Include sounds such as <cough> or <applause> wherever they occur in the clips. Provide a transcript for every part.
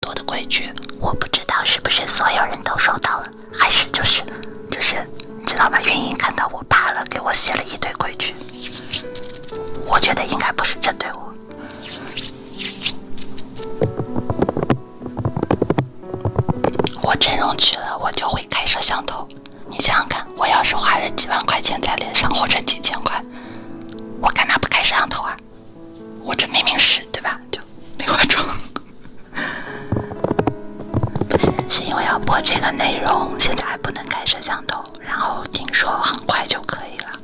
多的规矩，我不知道是不是所有人都收到了，还是就是就是，知道吗？云英看到我怕了，给我写了一堆规矩。我觉得应该不是针对我。我整容去了，我就会开摄像头。你想想看，我要是花了几万块钱在脸上，或者几千块，我干嘛不开摄像头啊？我这明明是对吧？就没化妆，不是是因为要播这个内容，现在还不能开摄像头，然后听说很快就可以了。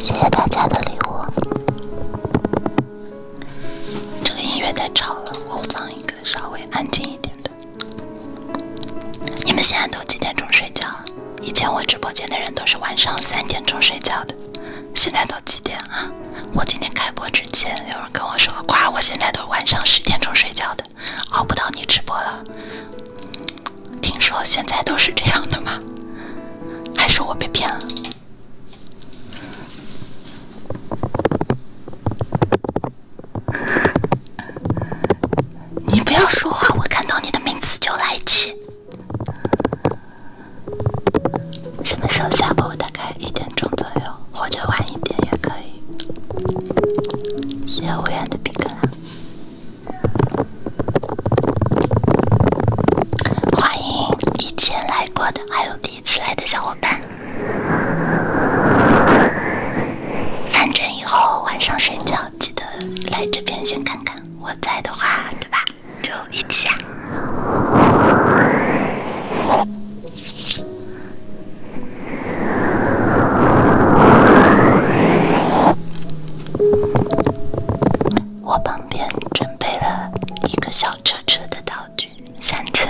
谢谢大家的礼物。这个音乐太吵了，我放一个稍微安静一点的。你们现在都几点钟睡觉？以前我直播间的人都是晚上三点钟睡觉的，现在都几点啊？我今天开播之前有人跟我说瓜，我现在都晚上十点钟睡觉的，熬不到你直播了。听说现在都是这样的吗？还是我被骗了？<laughs> 你不要说话，我看到你的名字就来气。什么时候下播？大概一点钟左右，或者晚一点也可以。谢无言的饼干。欢迎以前来过的还有第。一起来的小伙伴，反正以后晚上睡觉记得来这边先看看，我在的话，对吧？就一起啊！我旁边准备了一个小车车的道具。三层，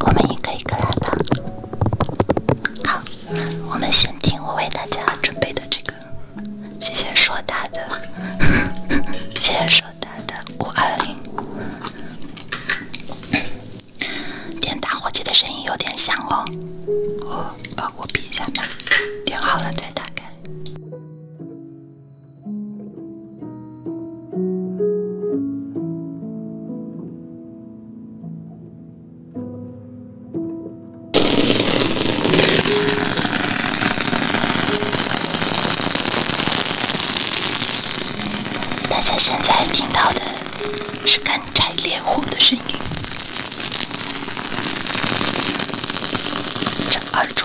我们一个一个来吧。好，我们先听我为大家准备的这个，谢谢硕大的，谢谢硕大的五二零。点打火机的声音有点响哦，我呃我闭一下吧，点好了再打开。大家现在听到的是干柴烈火的声音。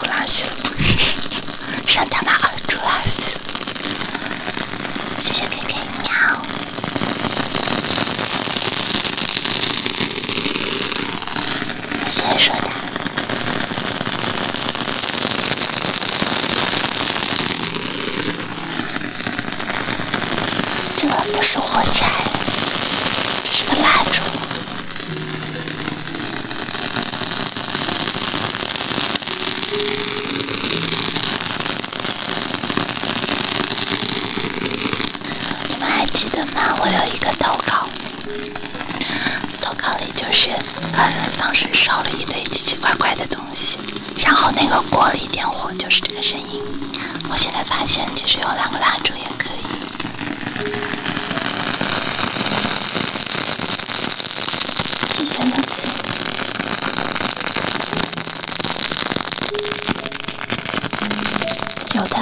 拉稀了，不是，上他妈的拉稀了。谢谢 KK 喵。谢谢说的，这不是火柴，是个蜡烛。你们还记得吗？我有一个投稿，投稿里就是，呃，当时烧了一堆奇奇怪怪的东西，然后那个锅里点火，就是这个声音。我现在发现，其实有两个蜡烛也可以。谢谢耐心。有的。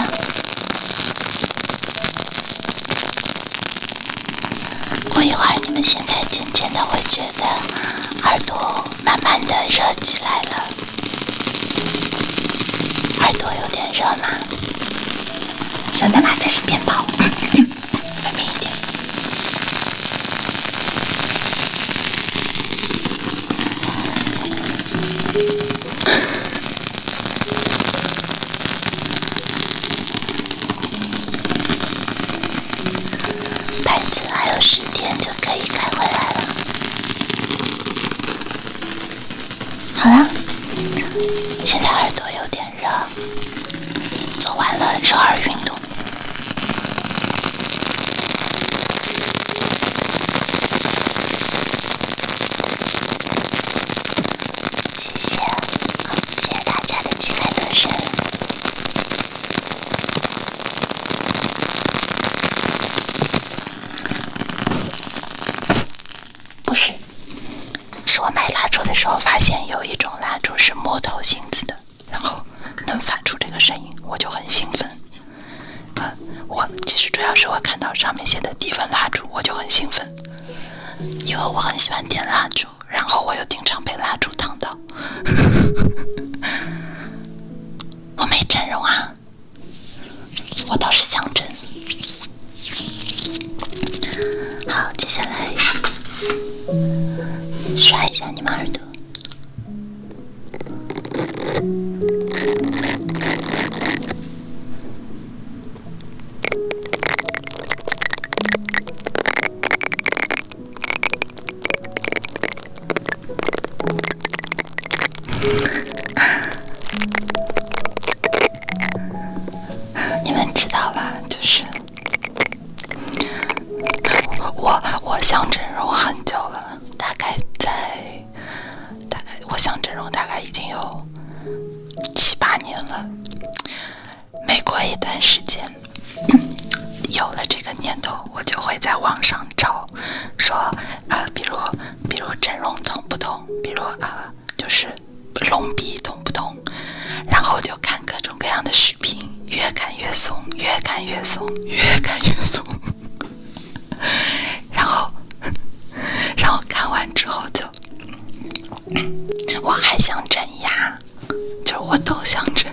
过一会儿，你们现在渐渐的会觉得耳朵慢慢的热起来了，耳朵有点热吗？真的吗？这是鞭炮，外面一点。盘子还有十天就可以开回来了。好啦，现在耳朵有点热，做完了热耳运动。谢谢，谢谢大家的期待，参与。不是，是我买蜡烛的时候发现有一种蜡烛是木头性质的，然后能发出这个声音，我就很兴奋。呃，我其实主要是我看到上面写的低温蜡烛，我就很兴奋，因为我很喜欢点蜡烛，然后我又经常被蜡烛烫到，<laughs> 我没整容啊。我倒是想着。好，接下来刷一下你们耳朵。<laughs> 你们知道吧？就是我，我想整容很久了，大概在大概我想整容大概已经有七八年了。每过一段时间，有了这个念头，我就会在网上找，说啊，比如比如整容痛不痛？比如啊。就是隆鼻痛不痛，然后就看各种各样的视频，越看越松，越看越松，越看越松。<laughs> 然后，然后看完之后就，我还想整牙，就我都想整。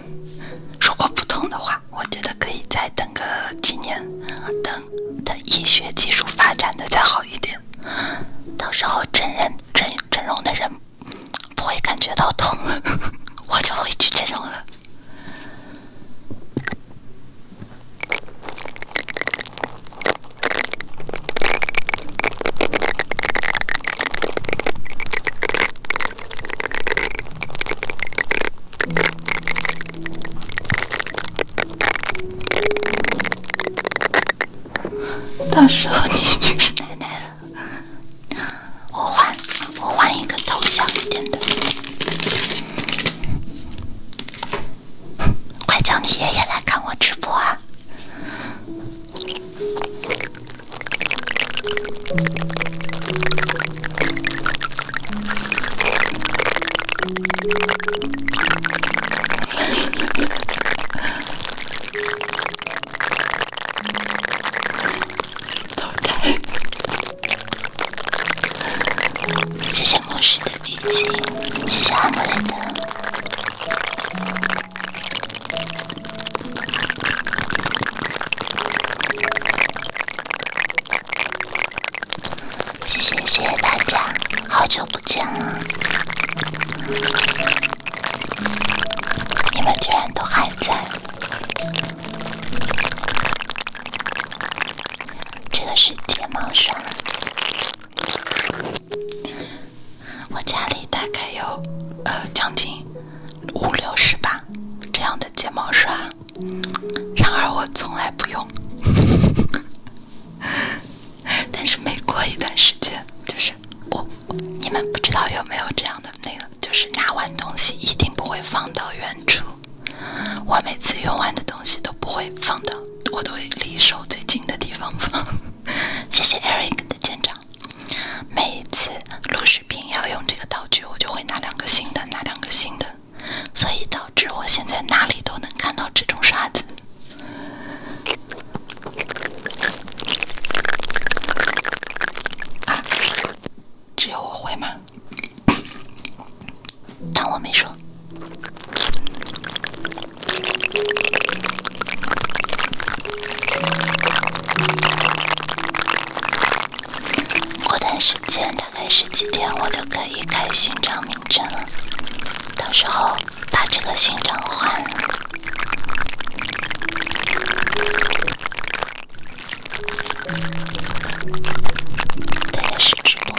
如果不痛的话，我觉得可以再等个几年，等等医学技术发展的再好。一点，到时候真人整整容的人不会感觉到痛了，<laughs> 我就会去整容了。到时候你已经是奶奶了。我换，我换一个头像一点的。快叫你爷爷来看我直播啊！谢谢牧师的笔记，谢谢阿莫雷的，谢谢谢谢大家。好久不见了，你们居然都还在。这个是睫毛刷，我家里大概有呃将近五六十把这样的睫毛刷，然而我从来不用。<laughs> 但是每过一段时间，就是我，你们不知道有没有这样的那个，就是拿完东西一定不会放到原处。我每次用完的东西都不会放到，我都会离手最近的地方放。<laughs> 谢谢 Eric 的见长。每一次录视频要用这个道具，我就会拿两个新的，拿两个新的，所以导致我现在哪里都能看到这种刷子。啊，只有我会吗？当我没说。过段时间，大概是几天，我就可以开勋章名称了。到时候。把这个勋章换了。对，是直播。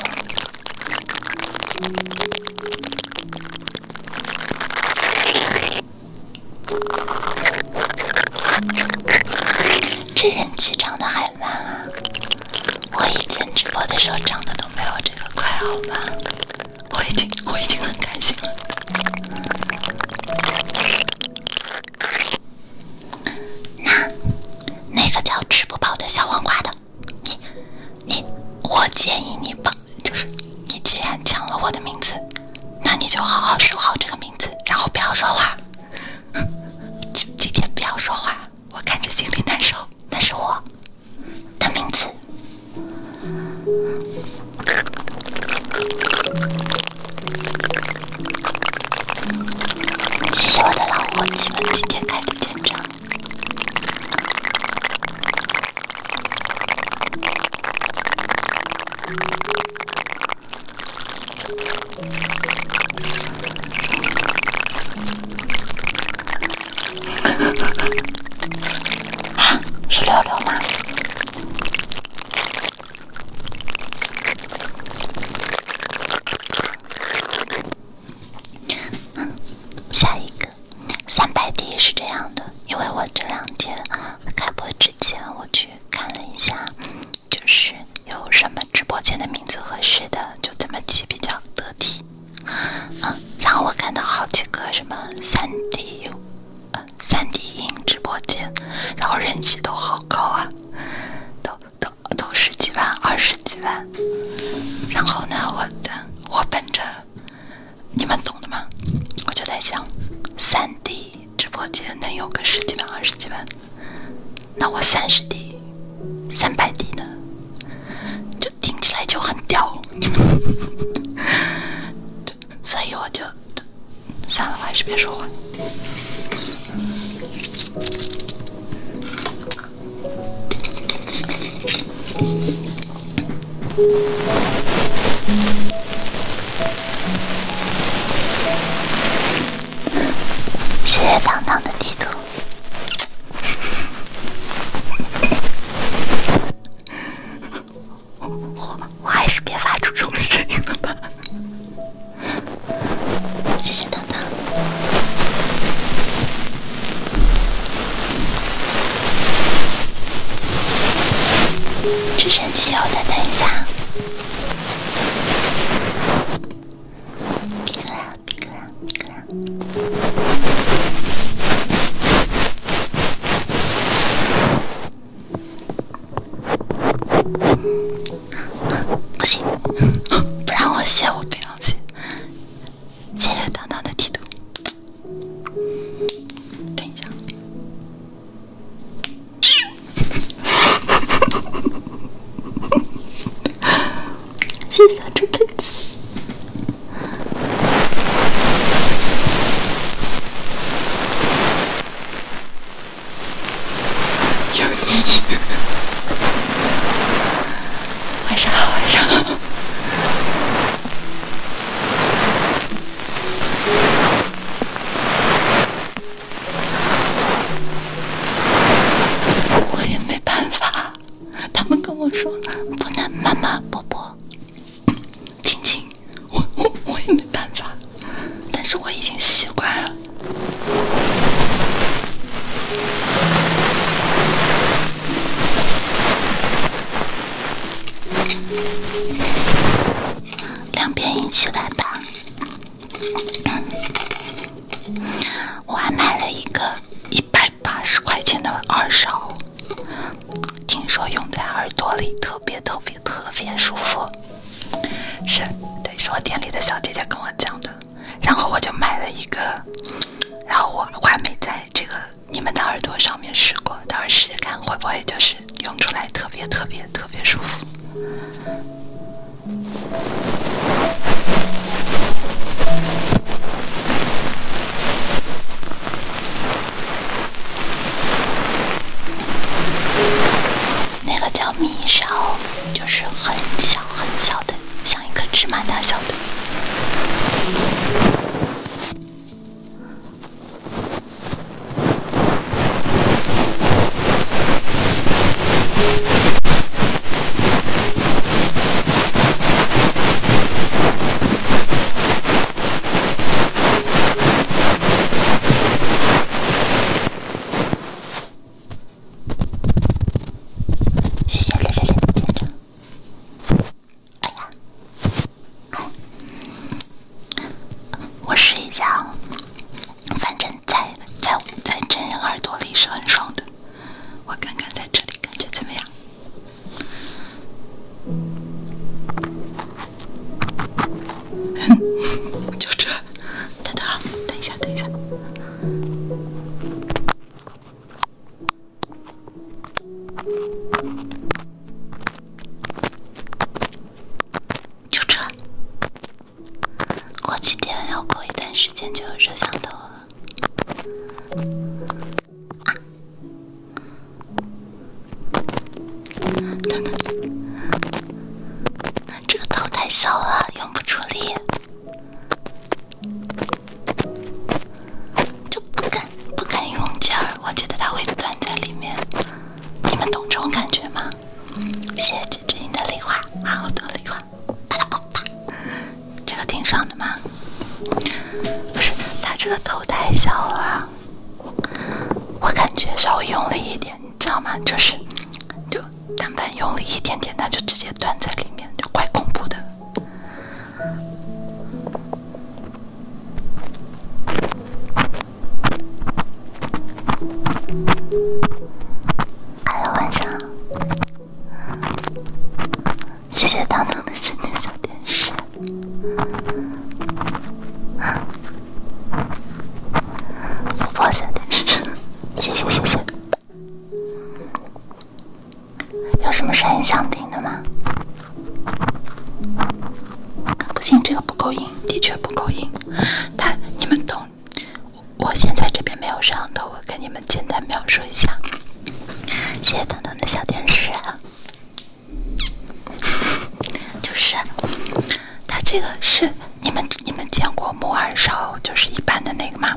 这人气涨的还慢啊！我以前直播的时候涨的都没有这个快，好吧？我已经我已经很开心了。那那个叫吃不饱的小黄瓜的，你你，我建议你把就是你既然抢了我的名字，那你就好好守好这个名字，然后不要说话，今今天不要说话，我看着心里难受。那是我的名字。谢谢我的老伙计们，今天开的见证。啊，<laughs> 是六六吗？嗯，下一个三百题是这样的，因为我这两天开播之前，我去看了一下，就是有什么直播间的名字合适的，就怎么起比较得体。嗯，然后我看到好几个什么三 D，嗯，三 D 音直播间，然后人气都好高啊，都都都十几万、二十几万。然后呢，我我本着你们懂的嘛，我就在想，三 D 直播间能有个十几万、二十几万，那我三十 D、三百 D 呢？就。听起来就很屌，<laughs> 所以我就算了还是别说话。谢谢糖糖的地图。我我还是别发出这种声音了吧。谢谢等等，这神奇哦！再等一下。闭个眼，闭个眼，闭个眼。不行，<laughs> 不让我写，我不要写。谢谢糖糖的地图。等一下。有你，晚上好，晚上好。<laughs> 我也没办法，他们跟我说不能妈妈、伯伯。亲亲，我我我也没办法，但是我已经习惯了。两边一起来吧，我还买了一个一百。八十块钱的耳勺，听说用在耳朵里特别特别特别舒服。是，对，是我店里的小姐姐跟我讲的。然后我就买了一个，然后我我还没在这个你们的耳朵上面试过，到时候试试看会不会就是用出来特别特别特别舒服。那个叫米沙，就是很小很小的，像一颗芝麻大小的。谢谢六六六的见证。我试一下，反正在在在真人耳朵里是很爽的。我看看在这里感觉怎么样。嗯，<laughs> 就这，等等，等一下，等一下，就这。过几天，要过一段时间就有摄像头了。这个头太小了，用不出力，就不敢不敢用劲儿，我觉得它会断在里面。你们懂这种感觉吗？谢谢金枝银的梨花，好多梨礼包！这个挺爽的吗？不是，它这个头太小了。我感觉稍微用力一点，你知道吗？就是，就但凡用力一点点，它就直接断在里面，就怪恐怖的。Hello，晚上。谢谢糖糖的神奇小电视，富婆小电视，谢谢谢谢。有什么声音想听的吗？不行，这个不够硬，的确不够硬。他，你们懂。我现在这边没有摄像头，我跟你们简单描述一下。谢谢糖糖的小电视。<laughs> 就是，它这个是你们你们见过木耳勺，就是一般的那个吗？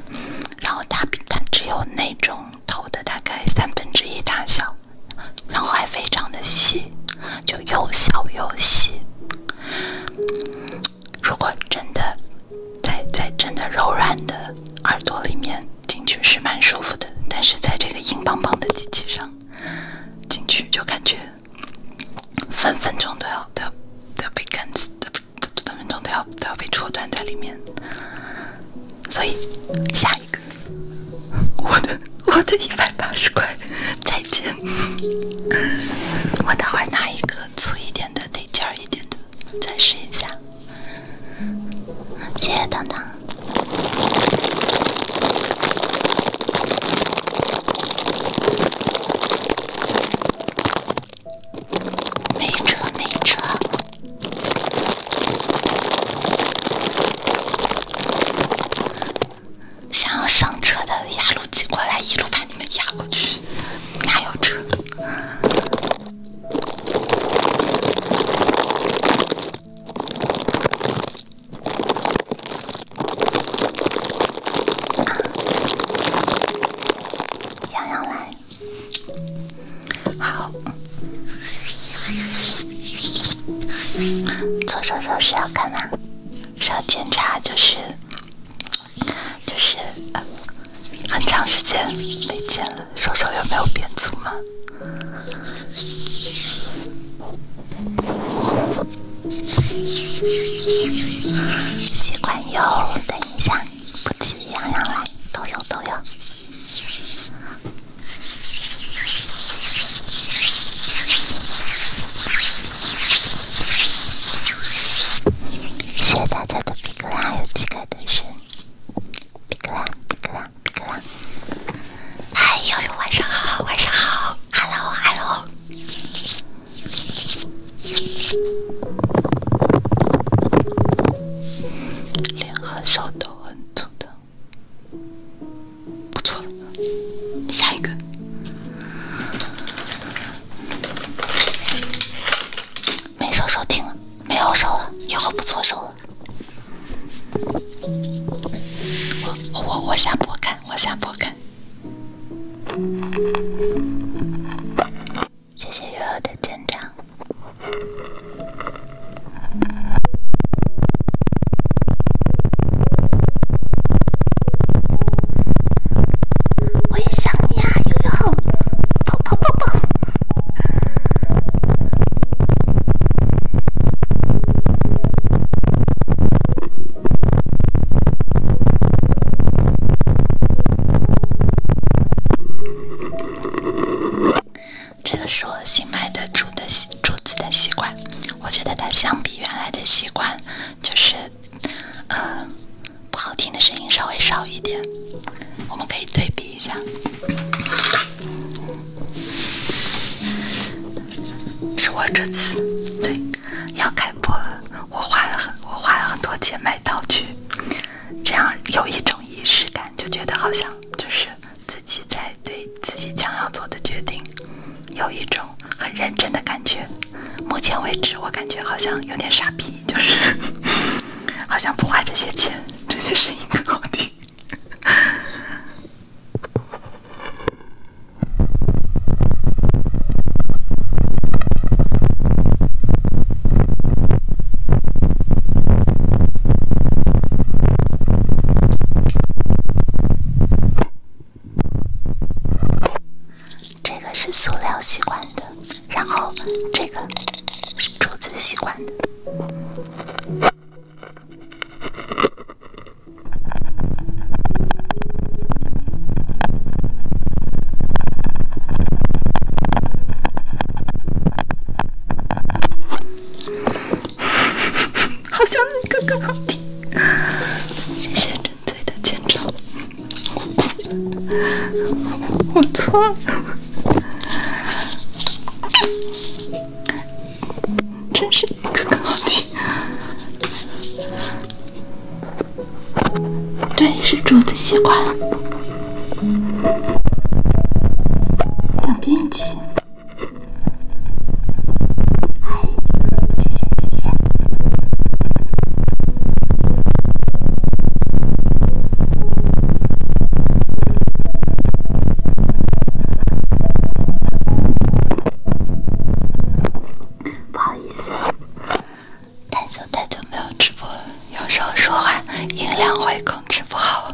然后它它只有那种头的大概三分之一大小，然后还非常的细，就又小又细。如果真的在在真的柔软的耳朵里面。进去是蛮舒服的，但是在这个硬邦邦的机器上进去，就感觉分分钟都要都要都要被干死都分分钟都要都要被戳断在里面。所以，下一个 <laughs> 我的我的一百八十块再见。我待会拿一个粗一点的、得劲儿一点的再试一下。谢谢糖糖。没车，没车。想要上车的，压路挤过来，一路把你们压过去。哪有车？洋洋来，好，左手手是要干嘛？是要检查，就是就是，很长时间没见了，手手有没有变粗吗？喜欢有，等一下，不急，样样来，都有都有。谢谢大家的皮格兰，有几个都是比格拉，比格拉。别了，哎呦，晚上好，晚上好 h e l l 脸和手都很粗的，不错下一个，没手收听没有手了，以后不搓手了。我我我想播看，我想播看。谢谢悠悠的镇长，我也想你啊，悠悠，抱抱抱抱。这个是我新买的竹的竹子的吸管，我觉得它相比原来的吸管，就是不好听的声音稍微少一点，我们可以对比一下。是我这次对要开播了，我花了很我花了很多钱买道具，这样有一种仪式感，就觉得好像就是自己在对自己将要做的决定有一种很认真的感觉。目前为止，我感觉好像有点傻逼，就是 <laughs> 好像不花这些钱，这些声音更好听。这个是塑料吸管的，然后这个是竹子吸管的。<laughs> 好香，哥哥好听。谢谢真醉的见证。我错了。真是哥哥好听，对，是竹子习惯，了。两边一起。不好意思，太久太久没有直播，了。有时候说话音量会控制不好，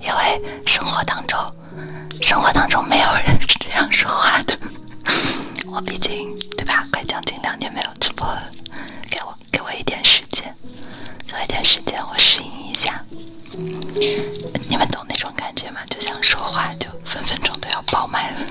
因为生活当中，生活当中没有人是这样说话的。<laughs> 我毕竟对吧，快将近两年没有直播了，给我给我一点时间，给我一点时间我适应一下。你们懂那种感觉吗？就想说话，就分分钟都要爆麦了。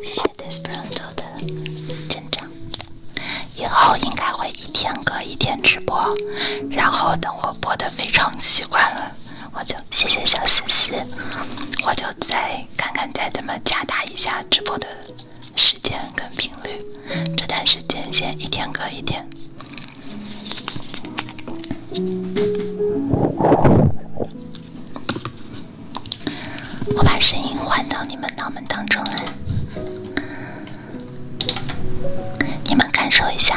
谢谢大神做的见证，以后应该会一天隔一天直播，然后等我播的非常习惯了，我就谢谢小星星，我就再看看再怎么加大一下直播的。时间跟频率，这段时间先一天隔一天。我把声音换到你们脑门当中来，你们感受一下。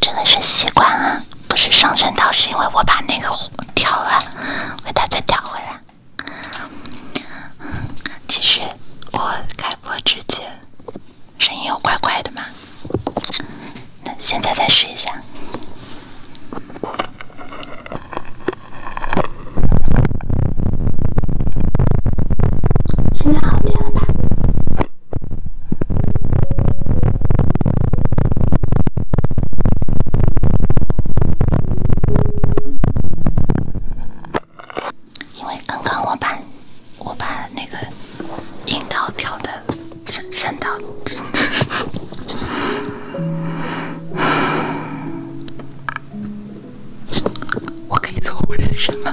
真的是西瓜啊。不是上升到，是因为我把那个调了，我给它再调回来，其实我开播之前，声音有怪怪的吗？那现在再试一下，现在好点了。吧？因为刚刚我把我把那个音调调的升升到，<laughs> 我可以错我人生吗？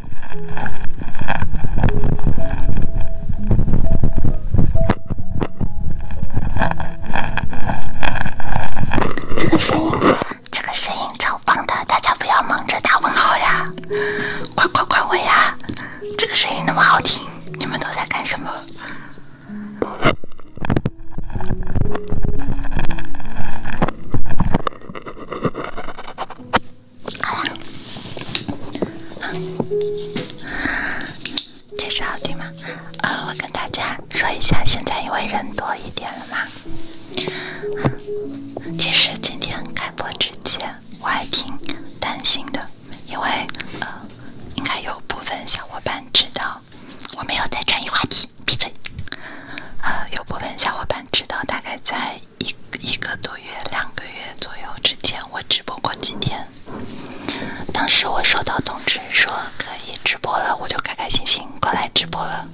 这个声音，这个声音超棒的，大家不要忙着打问号呀，快快快问呀！这个声音那么好听，你们都在干什么？好啦，啊，确实好听吗？呃，我跟大家说一下，现在因为人多一点了嘛。其实今天开播之前，我还挺担心的，因为呃，应该有部分小伙伴知道，我没有在转移话题，闭嘴。呃，有部分小伙伴知道，大概在。一一个多月、两个月左右之前，我直播过几天。当时我收到通知说可以直播了，我就开开心心过来直播了。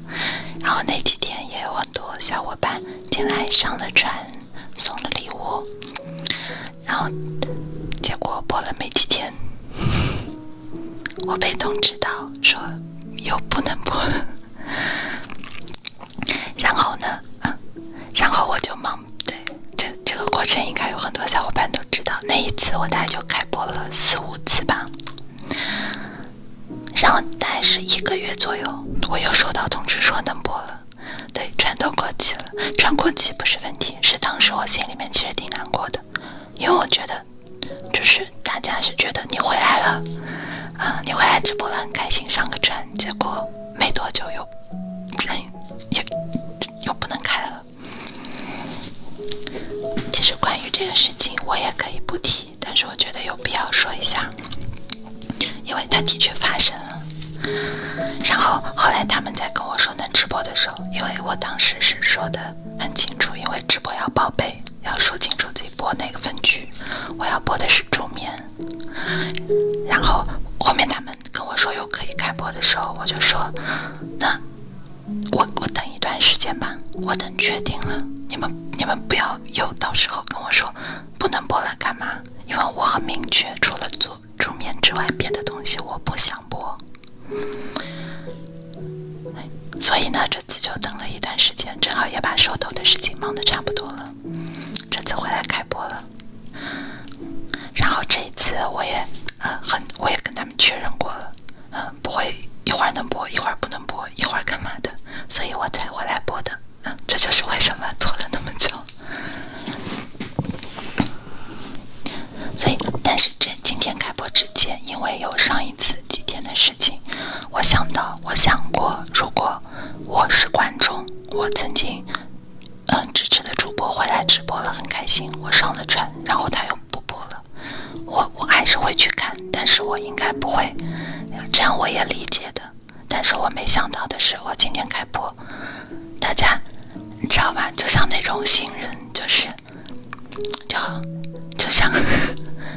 然后那几天也有很多小伙伴进来上了船，送了礼物。然后结果播了没几天，<laughs> 我被通知到说又不能播。了。然后呢？嗯，然后我就忙。对，这这个过程应该有很多小伙伴都知道。那一次我大概就开播了四五次吧，然后大概是一个月左右，我又收到通知说能播了。对，穿都过期了，穿过期不是问题是，当时我心里面其实挺难过的，因为我觉得就是大家是觉得你回来了，啊，你回来直播了，很开心上个船，结果没多久又。人也又不能开了。其实关于这个事情，我也可以不提，但是我觉得有必要说一下，因为它的确发生了。然后后来他们在跟我说能直播的时候，因为我当时是说的很清楚，因为直播要报备，要说清楚自己播哪个分区，我要播的是驻眠。然后后面他们跟我说有可以开播的时候，我就说，那我我等一段时间吧，我等确定了，你们你们不要又到时候跟我说不能播了干嘛？因为我很明确，除了做桌面之外，别的东西我不想播。所以呢，这次就等了一段时间，正好也把手头的事情忙得差不多了。这次回来开播了，然后这一次我也呃很，我也跟他们确认过了，嗯，不会一会儿能播，一会儿不能播，一会儿干嘛的，所以我才回来播的，嗯，这就是为什么拖了那么久。所以，但是这今天开播之前，因为有上一次几天的事情，我想到，我想过，如果我是观众，我曾经。嗯，支持的主播回来直播了，很开心。我上了船，然后他又不播了。我我还是会去看，但是我应该不会。这样我也理解的。但是我没想到的是，我今天开播，大家你知道吧？就像那种新人，就是就就像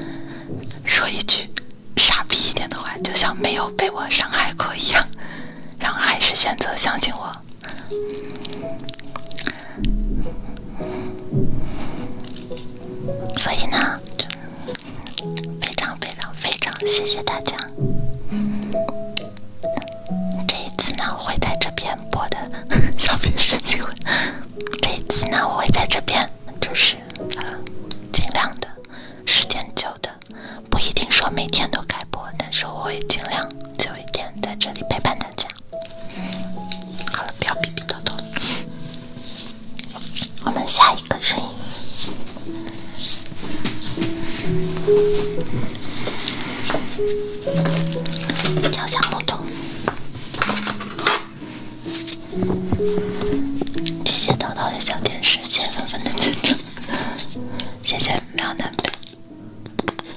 <laughs> 说一句。傻逼一点的话，就像没有被我伤害过一样，然后还是选择相信我。所以呢，非常非常非常谢谢大家。这一次呢，我会在这边播的，小别丝机会。这一次呢，我会在这边，就是尽量的，时间久的。不一定说每天都开播，但是我会尽量久一点在这里陪伴大家。好了，不要逼逼叨叨，我们下一个声音。跳下木头。谢谢叨叨的小天使，谢谢粉粉的见证。谢谢淼南。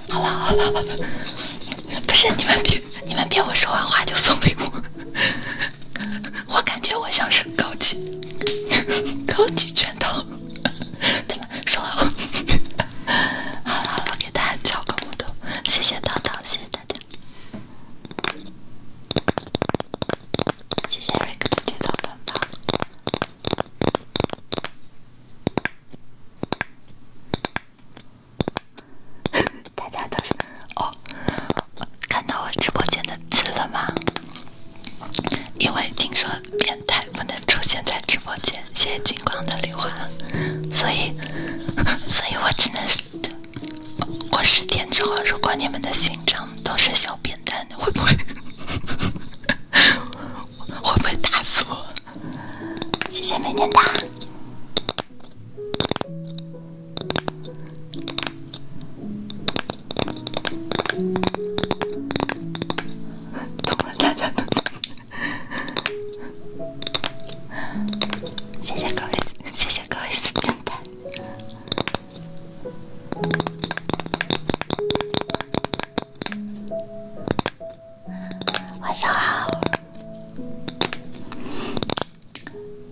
好了好了，不是你们别你们别，我说完话就送礼物，我感觉我像是高级高级拳头。对么说完话？好了好了，给大家敲个木头，谢谢淘淘，谢谢大家，谢谢瑞哥的剪刀板吧。<laughs> 大家都是哦，看到我直播间的字了吗？因为听说变态不能出现在直播间，谢谢金光的礼花，所以，<laughs> 所以我只能我是天之皇。如果你们的勋章都是小兵。会不会 <laughs> 会不会打死我？谢谢美念的，谢谢高一，谢谢高一的赞。晚上好，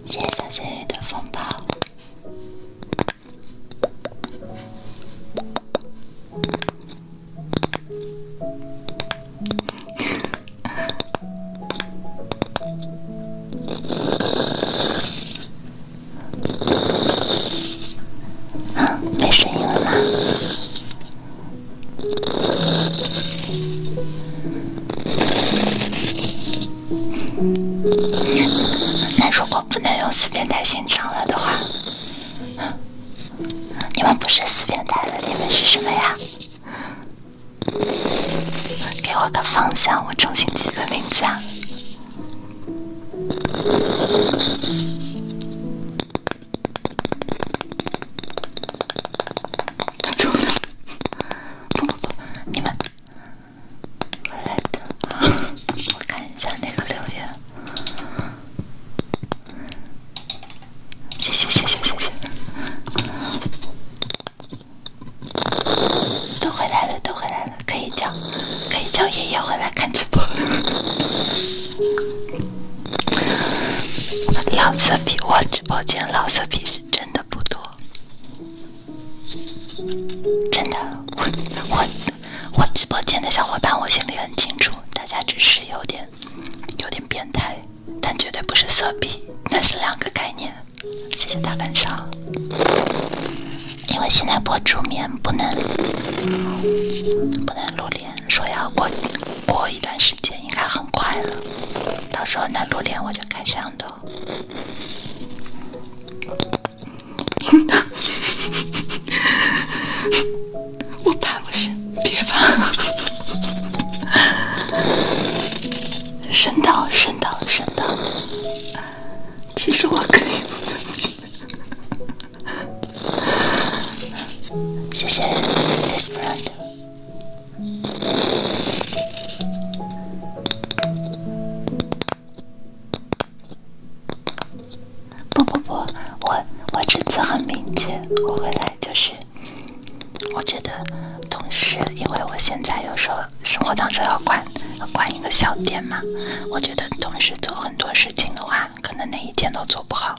谢谢小幸运的风暴。啊，没声音了吗？那如果不能用四变态训教了的话，你们不是四变态了？你们是什么呀？给我个方向，我重新起个名字啊！走了！你们都回来了，都回来了。可以叫，可以叫爷爷回来看直播。老色批，我直播间老色批是真的不多，真的，我我我直播间的小伙伴，我心里很清楚，大家只是有点有点变态，但绝对不是色批，那是两个概念。谢谢大晚上。因为现在播助眠不能不能露脸，说要过过一段时间，应该很快了。到时候能露脸，我就开摄像头。<laughs> 我怕不是，别怕，<laughs> 伸到伸到伸到，其实我可以。谢谢 t h i s p e r a d 不不不，我我这次很明确，我回来就是，我觉得，同时，因为我现在有时候生活当中要管管一个小店嘛，我觉得同时做很多事。事情的话，可能哪一天都做不好。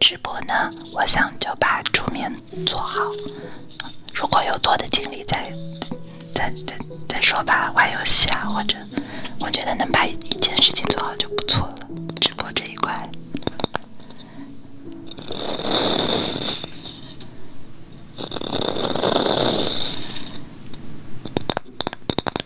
直播呢，我想就把桌面做好。如果有多的经历，再再再再说吧。玩游戏啊，或者我觉得能把一件事情做好就不错了。直播这一块。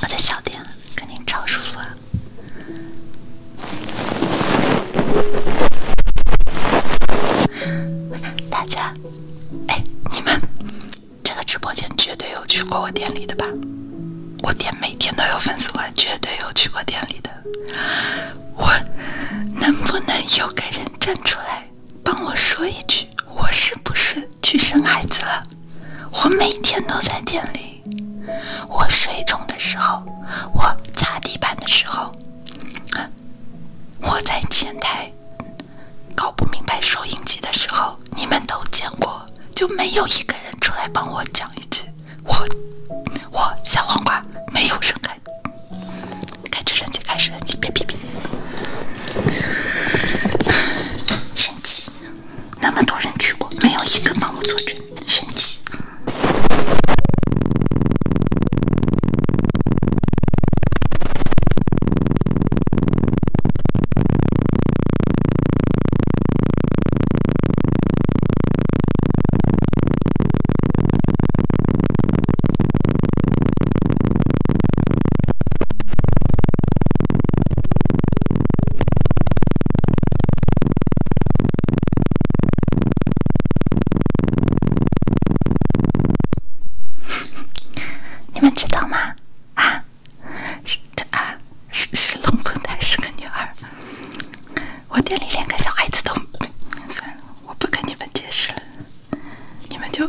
我的小店肯定超舒服啊！大家，哎，你们这个直播间绝对有去过我店里的吧？我店每天都有粉丝来，绝对有去过店里的。我能不能有个人站出来？帮我说一句，我是不是去生孩子了？我每天都在店里，我水肿的时候，我擦地板的时候，我在前台搞不明白收音机的时候，你们都见过，就没有一个人出来帮我讲一句，我，我小黄瓜没有生孩子。开始神奇，开始神奇，别屁屁！神奇，那么多人去过，没有一个盲目作证，神奇。<laughs> 你们知道吗？啊，这啊，是龙凤胎，是个女儿。我店里连个小孩子都算了，我不跟你们解释你们就。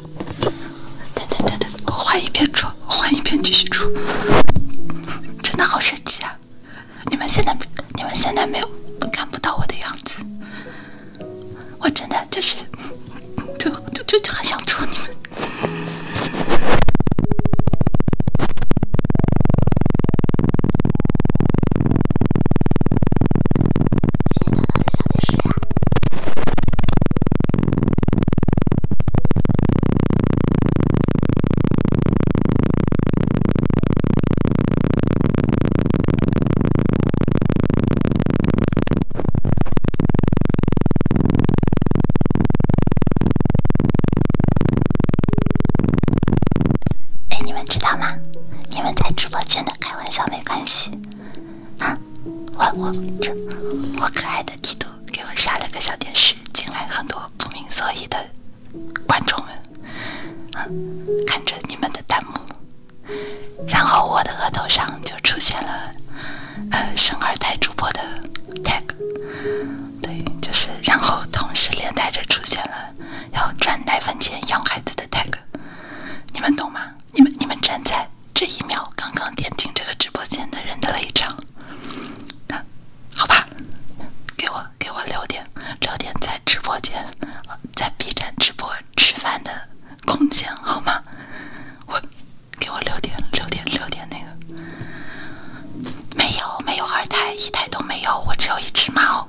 等等等等，我换一遍出，我换一遍继续出，真的好神奇啊！你们现在，你们现在没有，看不到我的样子，我真的就是，就就就就很想戳你们。现在到底想的哎，你们知道吗？你们在直播间的开玩笑没关系，啊。哇我这我可爱的帝都给我刷了个小电视，进来很多不明所以的观众们，看着你们的弹幕，然后我的额头上就出现了呃生二胎主播的 tag，对，就是然后同时连带着出现了要赚奶粉钱养孩子的 tag，你们懂吗？你们你们站在。这一秒刚刚点进这个直播间的人的泪场，好吧，给我给我留点留点在直播间，在 B 站直播吃饭的空间好吗？我给我留点留点留点那个，没有没有二胎，一胎都没有，我只有一只猫。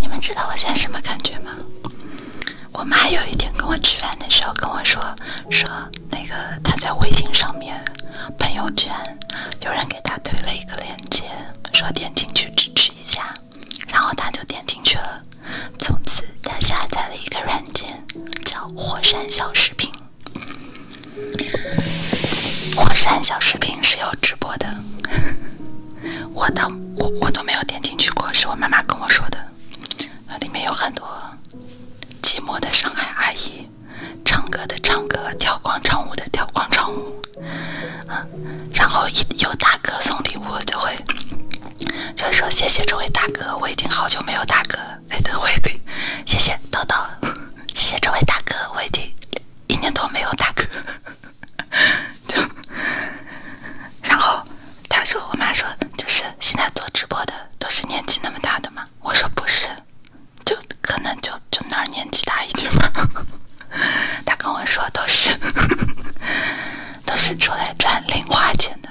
你们知道我现在什么感觉吗？我妈有一天跟我吃饭的时候跟我说，说那个她在微信上面朋友圈。有人给他推了一个链接，说点进去支持一下，然后他就点进去了。从此，他下载了一个软件，叫火山小视频。火山小视频是有直播的，我倒我我都没有点进去过，是我妈妈跟我说的。里面有很多寂寞的上海阿姨，唱歌的唱歌，跳广场舞的跳广场舞。然后一有大哥送礼物，就会就会说谢谢这位大哥，我已经好久没有大哥了。哎，我也可以，谢谢叨叨，谢谢这位大哥，我已经一年多没有大哥。然后他说，我妈说，就是现在做直播的都是年纪那么大的吗？我说不是。就可能就就那儿年纪大一点吧。<laughs> 他跟我说都是 <laughs> 都是出来赚零花钱的。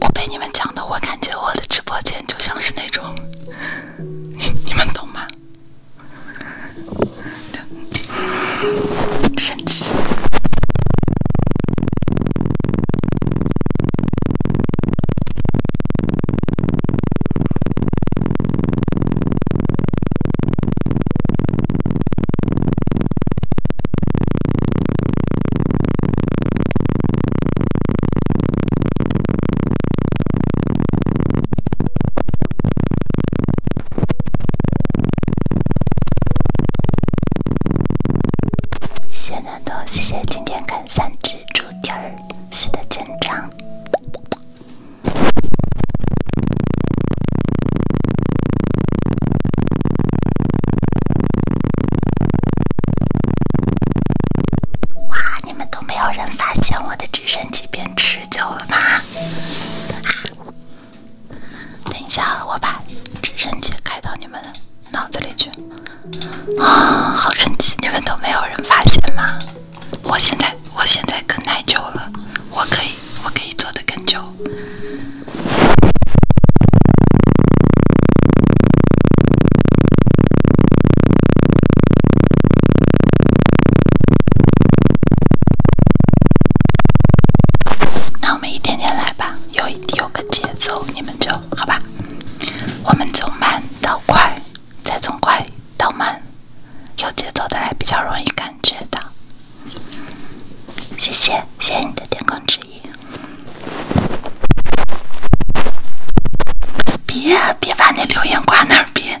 我被你们讲的，我感觉我的直播间就像是那种，<laughs> 你们懂吗？神奇。谢暖冬，谢谢今天看三只猪蹄儿，写的紧张。哇！你们都没有人发现我的直升机变持久了吗？等一下，我把直升机开到你们脑子里去啊！好神奇，你们都没有人发现吗？我现在我现在更耐久了，我可以我可以做的更久。那我们一点点来吧，有有个节奏，你们就好吧。我们从慢到快。再从快到慢，有节奏的来比较容易感觉到。谢谢，谢谢你的天空之翼。别别把那留言挂那儿别。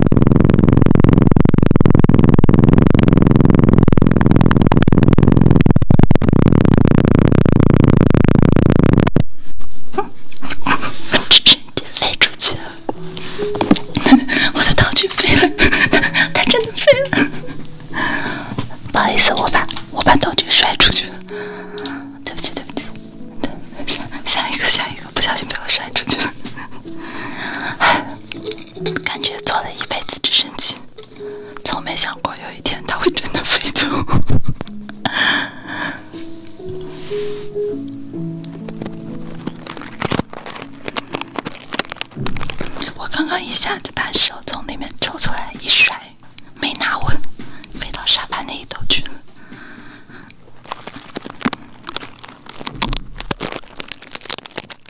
这真的飞出去了！我的道具飞了，它真的飞了。不好意思，我把我把道具摔出去了。对不起，对不起，下下一个下一个，不小心被我摔出去了。感觉做了一辈子直升机，从没想过有一天它会真的飞走。我刚刚一下子把手从里面抽出来一甩，没拿稳，飞到沙发那一头去了。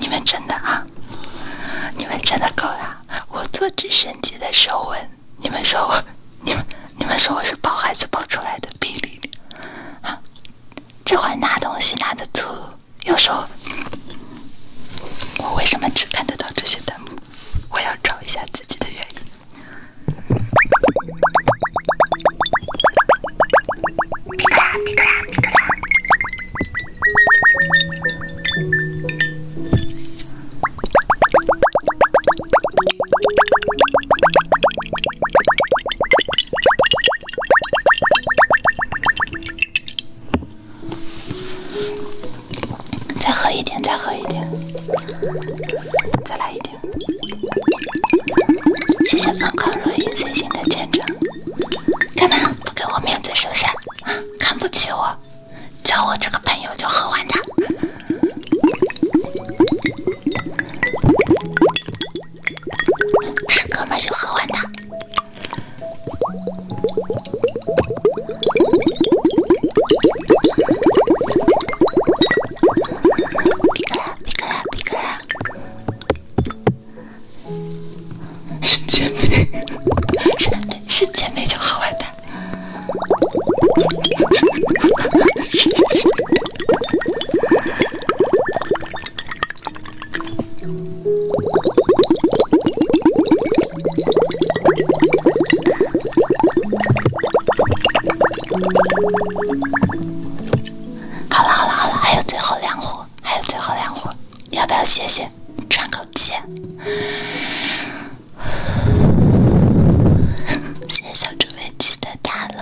你们真的啊？你们真的够了！我做直升机的时候稳，你们说我，你们你们说我是抱孩子抱出来的比例？啊，这会拿东西拿得粗，有时候我为什么只看得到这些弹幕？我要找一下自己的原因。再喝一点，再喝一点，再来一点。谢谢康康若隐随新的见证。干嘛？不给我面子是不是？看不起我，叫我这个朋友就喝完它，是哥们就喝完它。是姐妹，是是姐妹就好玩的。好了好了好了，还有最后两壶，还有最后两壶。要不要歇歇，喘口气？<laughs> 谢谢小猪飞机的打 c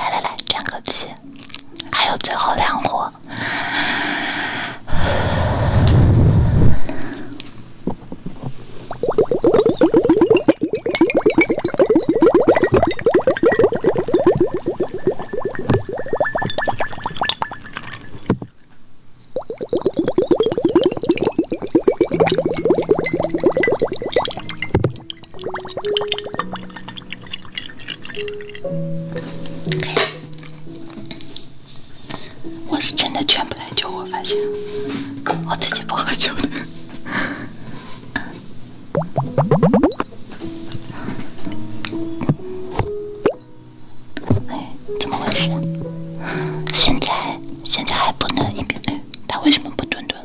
来来来，喘口气，还有最后两活。<laughs> 我是真的全部来救，我发现，我自己不喝酒的。哎，怎么回事？现在现在还不能一边……他为什么不蹲蹲？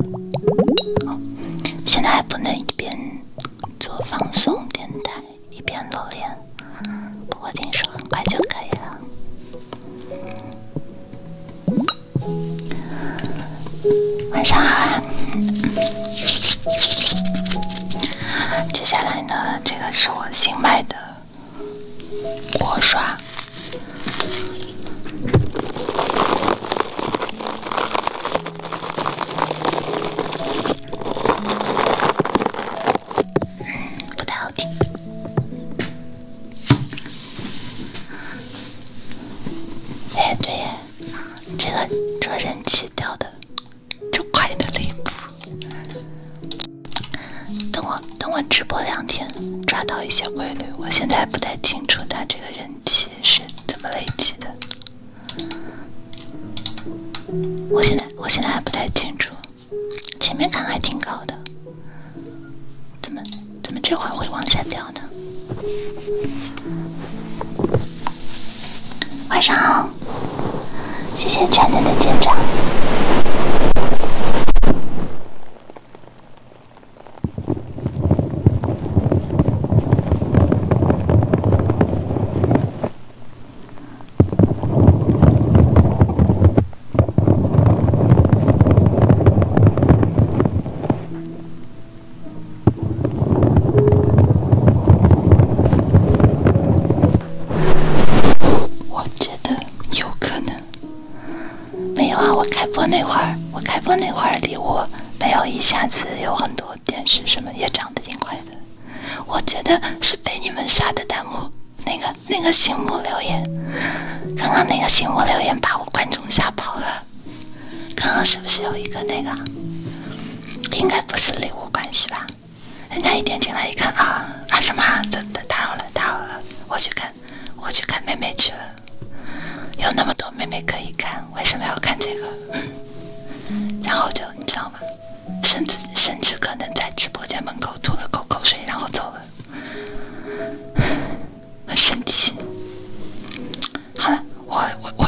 现在还不能一边做放松垫腿一边锻炼，不过听说很快就可以了。晚上好啊！接下来呢，这个是我新买的锅刷，嗯，不太好听。哎，对。这个这个人气掉的，就快的离谱！等我等我直播两天，抓到一些规律。我现在还不太清楚，他这个人气是怎么累积的？我现在我现在还不太清楚。前面看还挺高的，怎么怎么这会儿会往下掉呢？晚上好，谢谢全能的见证。我觉得有可能。没有啊，我开播那会儿，我开播那会儿礼物没有一下子有很多，电视什么也长得挺快的。我觉得是被你们刷的弹幕，那个那个醒目留言，刚刚那个醒目留言把我观众吓跑了。刚刚是不是有一个那个？应该不是礼物关系吧？人家一点进来一看啊啊什么啊？真的打扰了打扰了，我去看我去看妹妹去了，有那么多妹妹可以看，为什么要看这个？<coughs> 然后就你知道吗？甚至甚至可能在直播间门口吐了口口水然后走了。很神奇。好了，我我我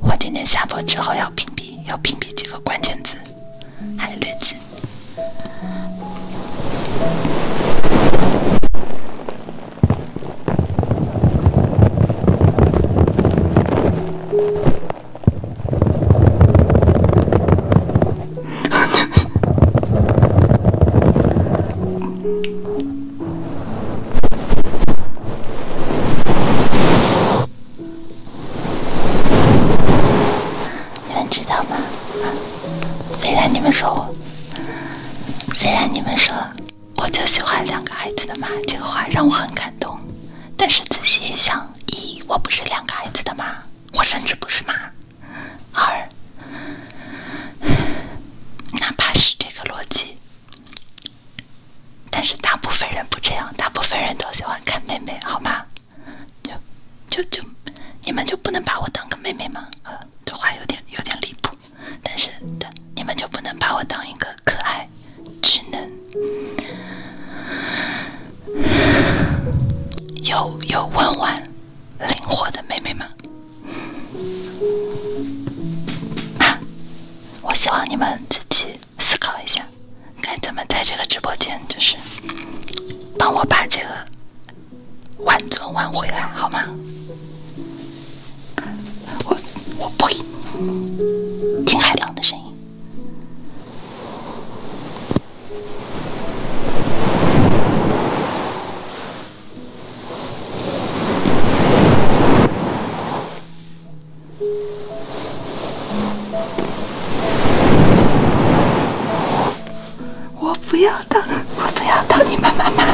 我今天下播之后要屏蔽，要屏蔽几个关键字，还有滤镜。<laughs> 你们知道吗？虽然你们说，虽然你们说，我就喜欢两个孩子的妈，这个话让我很感动。但是仔细一想，一我不是两个孩子的妈，我甚至不是妈。二，哪怕是这个逻辑。但是大部分人不这样，大部分人都喜欢看妹妹，好吗？就就就，你们就不能把我当个妹妹吗？呃，这话有点有点离谱。但是，但你们就不能把我当一个可爱、智能有有温婉、灵活的妹妹吗？<laughs> 我希望你们自己思考一下，该怎么在这个直播间，就是帮我把这个挽尊挽回来，好吗？我我呸！听海浪的声音。我不要当，我不要当你们妈妈。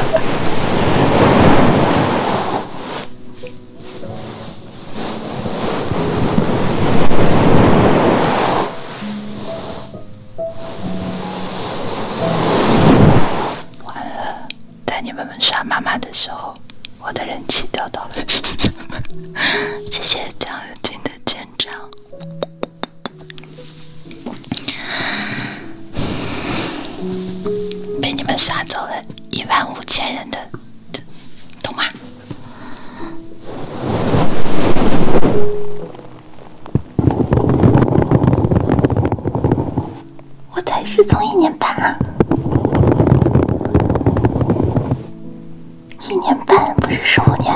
完了。在你们们刷妈妈的时候，我的人气掉到了什么？<laughs> 谢谢酱油君的见证，被你们刷走了一万五千人的，懂吗？我才失踪一年半啊，一年半不是十五年。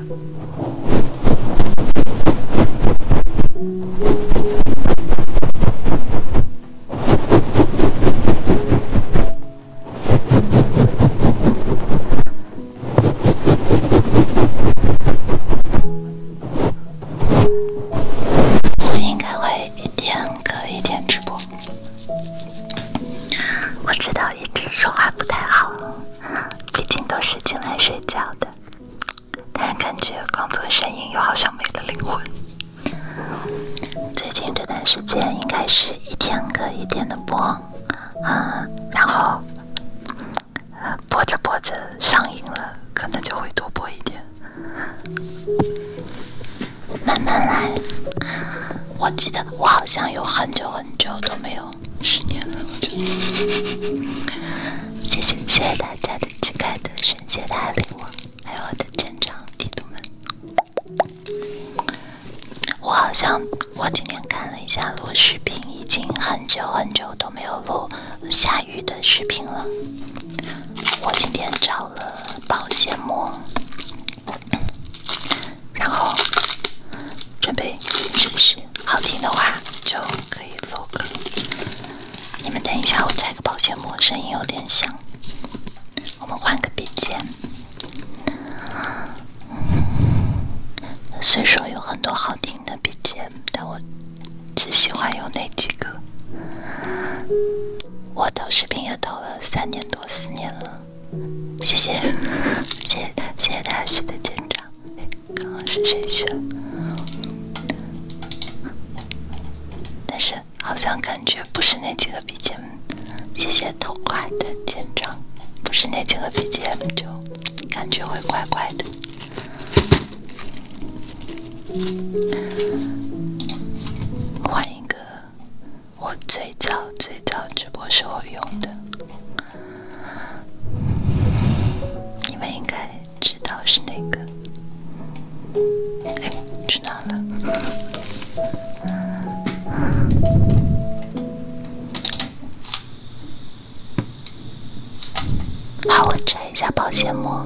我应该会一天隔一天直播。我知道一直说话不太好。毕竟都是进来睡觉的，但是感觉光做声音又好像没了灵魂。最近这段时间应该是一天隔一天的播啊，然后播着播着上瘾了，可能就会多播一点，慢慢来。我记得我好像有很久很久都没有。十年了，我就。谢谢谢谢大家的期待的春节的爱我，还有我的舰长弟弟们。我好像我今天看了一下录视频，已经很久很久都没有录下雨的视频了。我今天找了保鲜膜，然后准备试试。好听的话。就可以做个。你们等一下，我拆个保鲜膜，声音有点响。我们换个笔尖。虽说有很多好听的笔尖，但我只喜欢有那几个。我投视频也投了三年多四年了，谢谢，<laughs> 谢谢谢谢大师的见证。刚刚是谁去了？但是好像感觉不是那几个 BGM，谢谢童话的见证，不是那几个 BGM 就感觉会怪怪的。换一个，我最早最早直播时候用的。你们应该知道是哪个？哎，去哪了？好，我拆一下保鲜膜。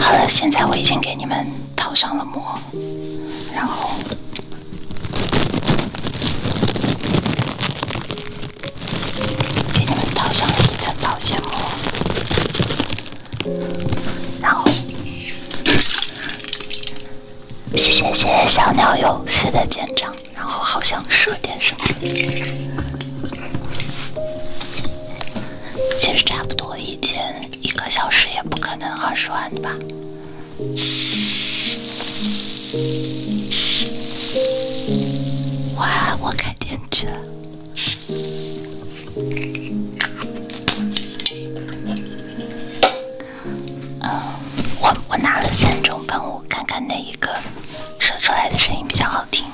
好了，现在我已经给你们套上了膜，然后给你们套上了一层保鲜膜，谢谢谢谢小鸟有学的舰长，然后好像说点什么。其实差不多一天一个小时也不可能二十万吧。哇，我天电了。嗯，我我拿了三种喷雾，看看哪一个射出来的声音比较好听。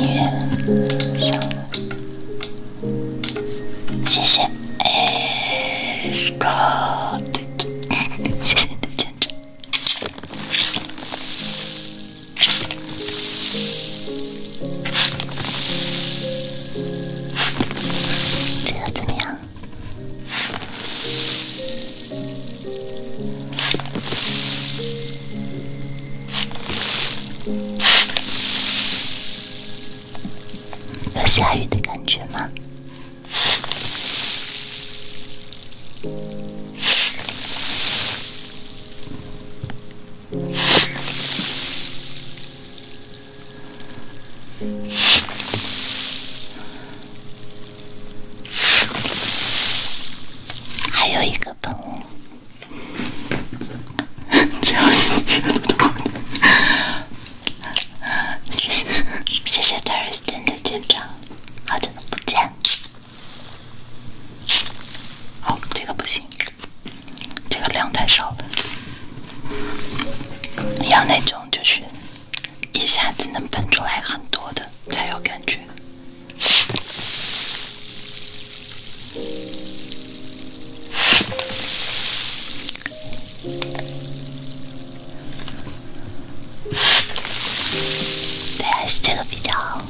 音乐，谢谢这个怎么样？有下雨的感觉吗？还有一个喷雾。<laughs> 谢谢，哦，这个不行，这个量太少了，要那种就是一下子能喷出来很多的才有感觉。对，还是这个比较好。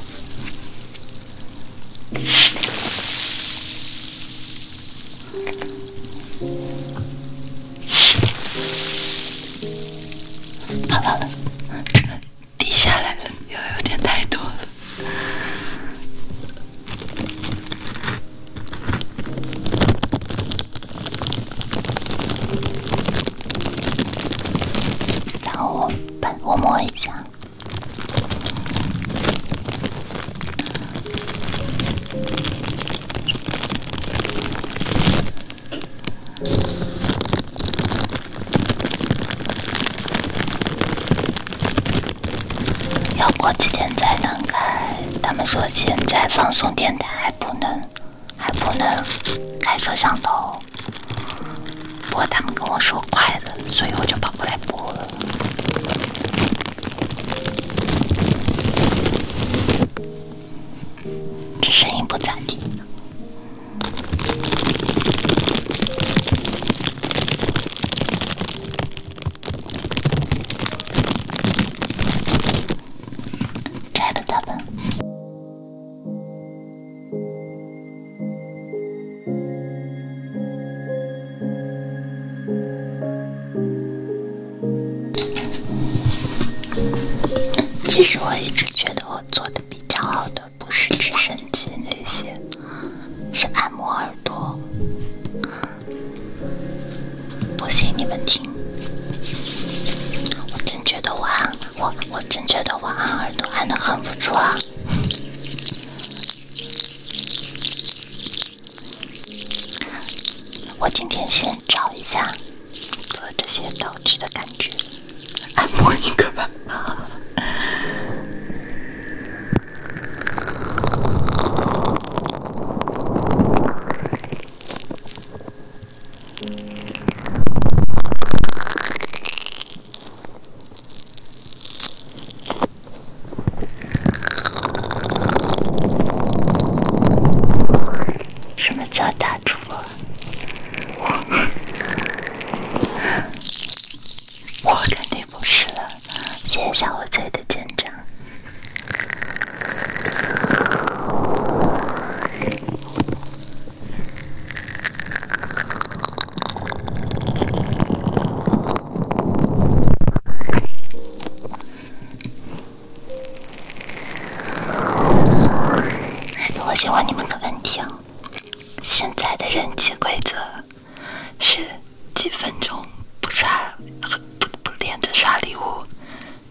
好了好了。这滴下来了，又有点太多了。然后我把，我摸一下。要过几天才能开，他们说现在放送电台还不能，还不能开摄像头。不过他们跟我说快的，所以我就跑过来播了。这声音不咋地，摘了他们。其实我一直觉得我做的比较好的不是直升机那些，是按摩耳朵。不信你们听，我真觉得我按我我真觉得我按耳朵按的很不错。啊。我今天先找一下做这些道具的感觉，按摩一个吧。什么叫大主播？我，我肯定不是了。谢谢小五彩的见证。我问你们个问题哦，现在的人气规则是几分钟不刷不不连着刷礼物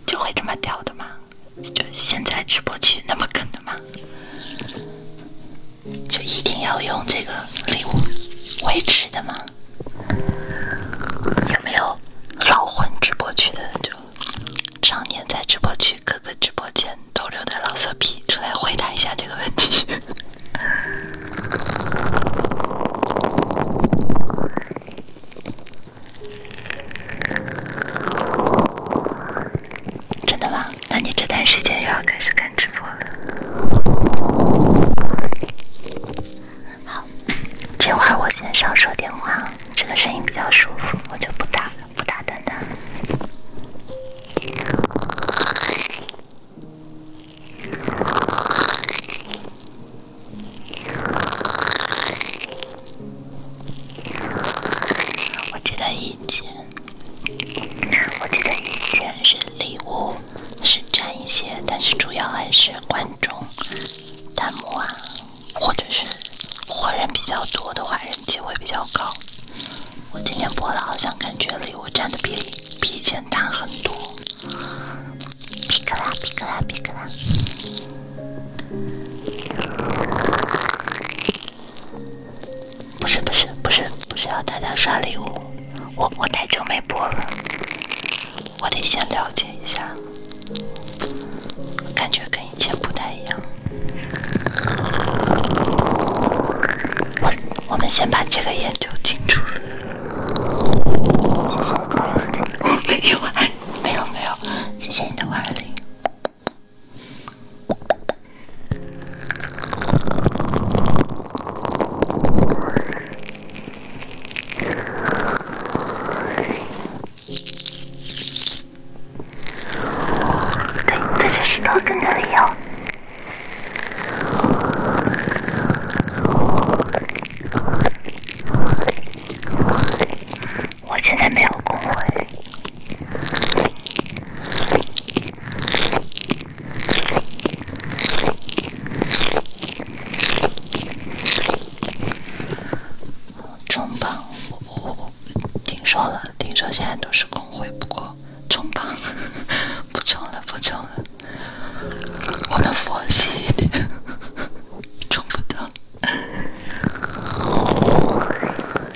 就会这么屌的吗？就现在直播区那么坑的吗？就一定要用这个礼物维持的吗？有没有老混直播区的，就常年在直播区各个直播间逗留的老色批出来回答一下这个问题。<laughs> 真的吗？那你这段时间又要开始开？直播了，好，这会儿我先少说点话，这个声音比较舒服，我就不打，了，不打灯了。我记得以前我记得以前是礼物是占一些，但是主要还是观众弹幕啊，或者是活人比较多的话，人气会比较高。我今天播了，好像感觉礼物占的比例比以前大很多。皮克拉，皮克拉，皮克拉。不是不是不是不是要大家刷礼物，我我太久没播了，我得先了解一下，感觉跟以前不太一样。我我们先把这个研究清楚。谢谢没有没有没有，谢谢你的万粉对自己是多正能量！我现在没有工会。冲榜，我我我听说了，听说现在都是公会，不过冲榜 <laughs> 不冲了，不冲了，我们佛系一点，冲不到。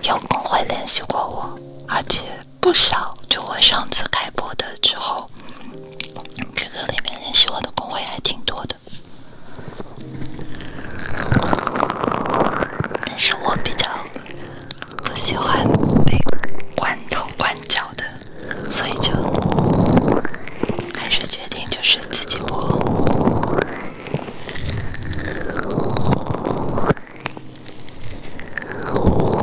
有公会联系过我，而且。不少，就我上次开播的之后，QQ 里面联系我的公会还挺多的，但是我比较不喜欢被关头关脚的，所以就还是决定就是自己播。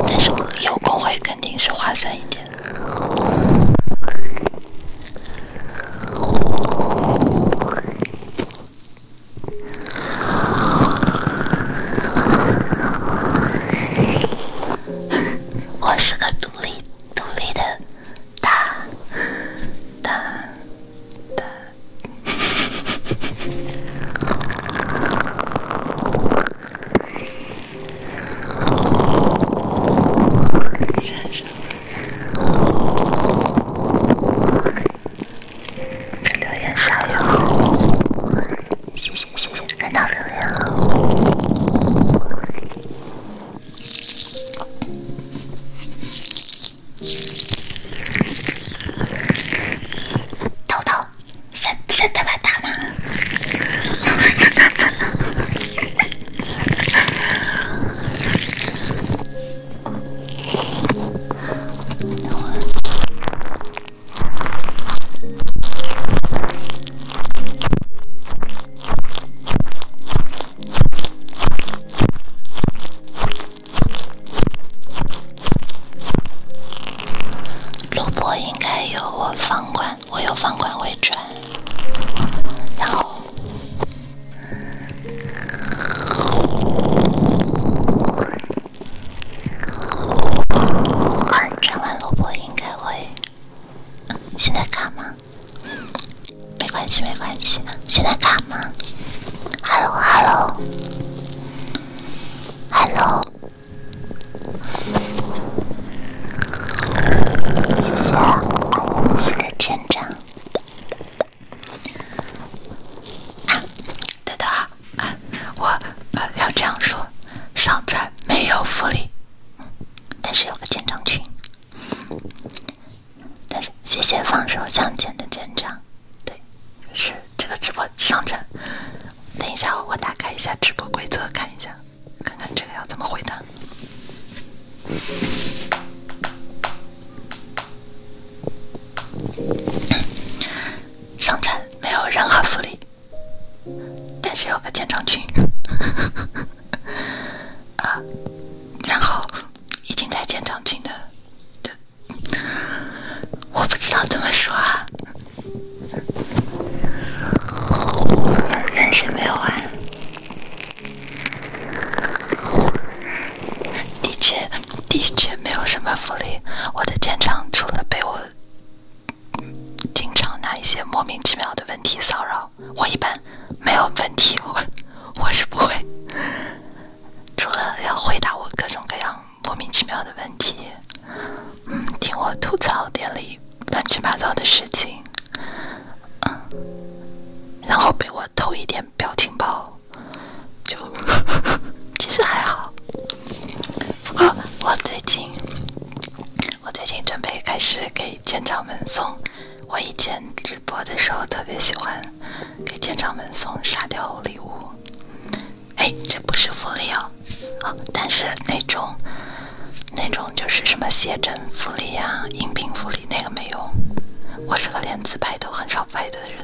但是有工会肯定是划算一点。我是个独立、独立的，大大哒。谢谢到留シャッシャタバタマン录播应该由我方管，我有方管会转，然后转完萝卜应该会。现在卡吗？没关系，没关系。现在卡吗？Hello，Hello，Hello。谢谢我们群长。啊，等等啊，啊，我我要这样说，上船没有福利，但是有个舰长群。但是谢谢放手向前的舰长，对，是。这个直播上阵，等一下我打开一下直播规则看一下，看看这个要怎么回答。上阵没有任何福利，但是有个建厂群，<laughs> 啊，然后已经在建厂群的，我不知道怎么说啊。认识没有啊？的确，的确没有什么福利。我的建厂除了被我经常拿一些莫名其妙的问题骚扰，我一般没有问题。我我是不会，除了要回答我各种各样。莫名其妙的问题，嗯，听我吐槽店里乱七八糟的事情，嗯，然后被我偷一点表情包，就，其实还好。不过我最近，我最近准备开始给舰长们送，我以前直播的时候特别喜欢给舰长们送沙雕礼物。哎，这不是福利哦，哦，但是那种，那种就是什么写真福利呀、音频福利那个没有。我是个连自拍都很少拍的人，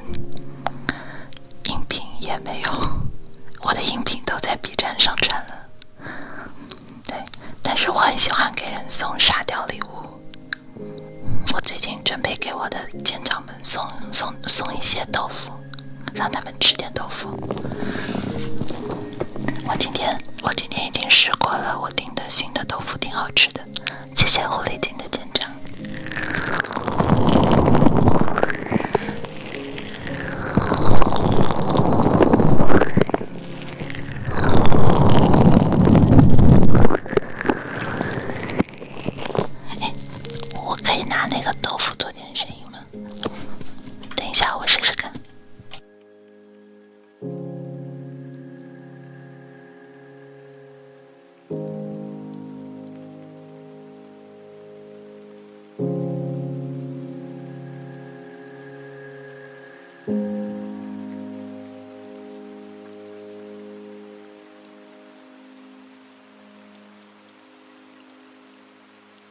音频也没有。我的音频都在 B 站上传了。对，但是我很喜欢给人送沙雕礼物。我最近准备给我的舰长们送送送一些豆腐。让他们吃点豆腐。我今天我今天已经试过了，我订的新的豆腐挺好吃的，谢谢狐狸精的见证。哎，我可以拿那个豆腐做点声音吗？等一下，我试试看。